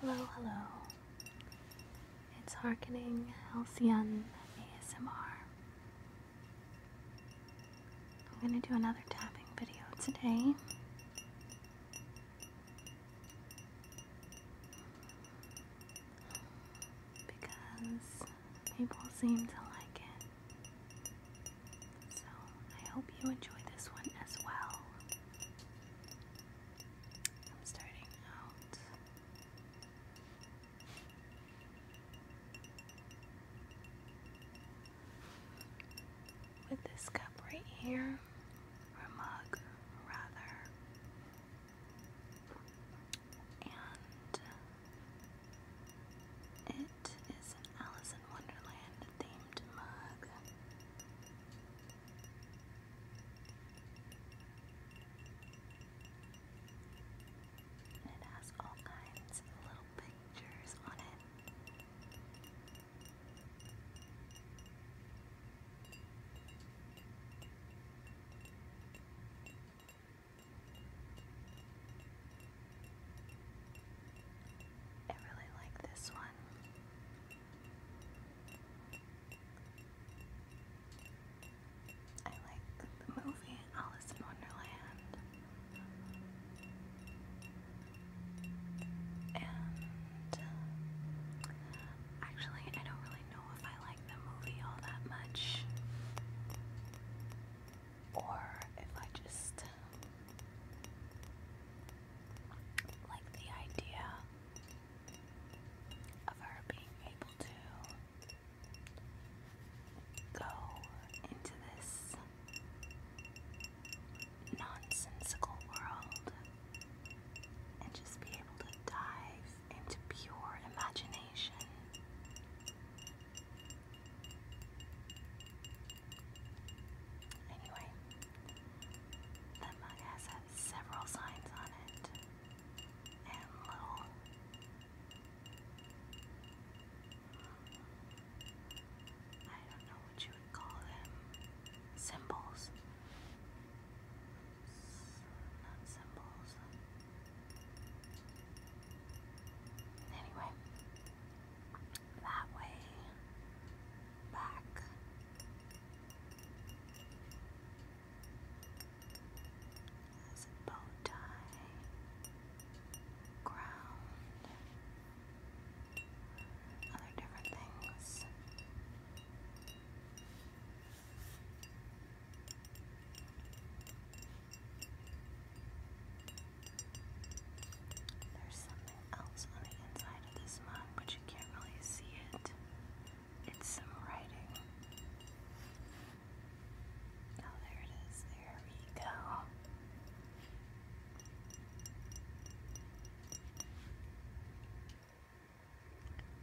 Hello, hello. It's Harkening Halcyon ASMR. I'm going to do another tapping video today. Because people seem to like it. So I hope you enjoy this one as well. I'm starting out with this cup right here, or mug rather, and it is an Alice in Wonderland themed mug. And it has all kinds of little pictures on it. I really like this one. I like the movie Alice in Wonderland. And uh, actually, I don't really know if I like the movie all that much. Or if I just like the idea of her being able to go into this nonsensical world and just be able to dive into pure imagination Anyway, the mug has had uh, several signs on it and little I don't know what you would call them. Symbols. Not symbols. Anyway, that way, back. bow tie, ground, other different things. There's something else on the inside of this mug, but you can't really see it. It's some writing. Oh, there it is. There we go.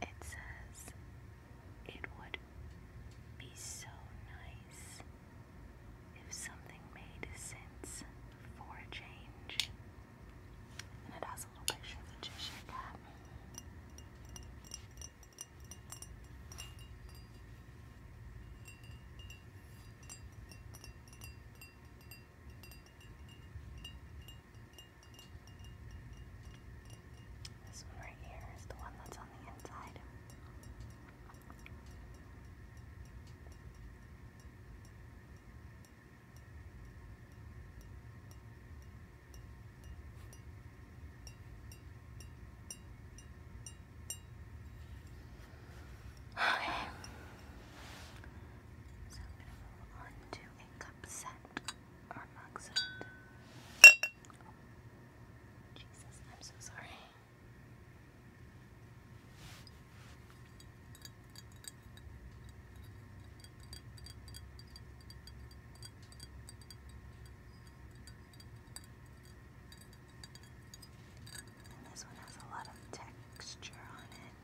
It says, It would be so nice if something made sense for change. And it has a little picture of the Cheshire Cat. This one right here is the one that's on the inside. Okay. So I'm going set or mug set. Jesus, I'm so sorry. And this one has a lot of texture on it.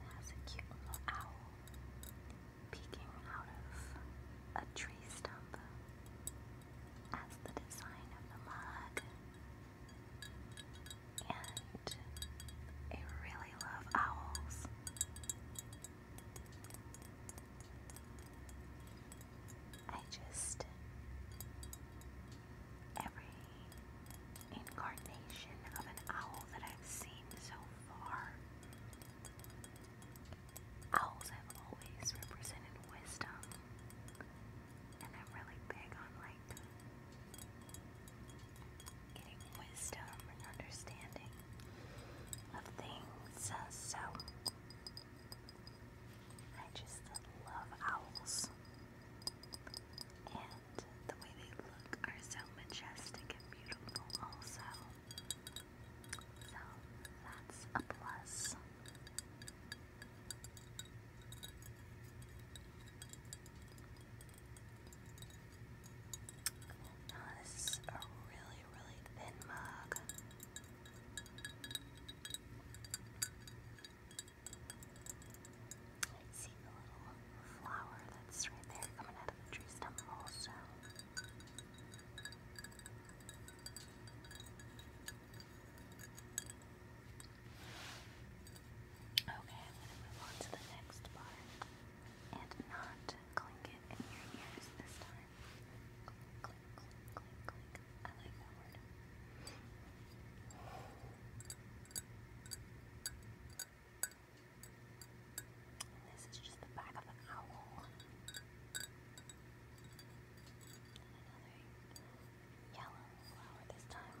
There's a cute little owl peeking out of a tree stump as the design of the mug. And I really love owls. I just, every incarnation of an owl that I've seen so far, owls have always represented wisdom, and I'm really big on like getting wisdom and understanding of things. Uh, so I just love owls. And the way they look are so majestic and beautiful also. So that's a plus. No, this is a really, really thin mug. I see the little flower that's right there coming out of the tree stump also. Okay, I'm going to move on to the next part and not clink it in your ears this time. Clink, clink, clink, clink. I like that word. this is just the back of an owl. And another yellow flower this time.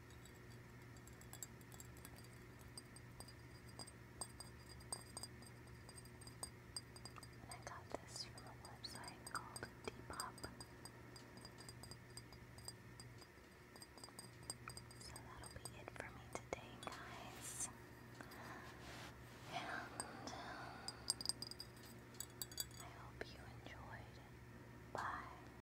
And I got this from a website called Depop. So that'll be it for me today, guys. And um, I hope you enjoyed. Bye.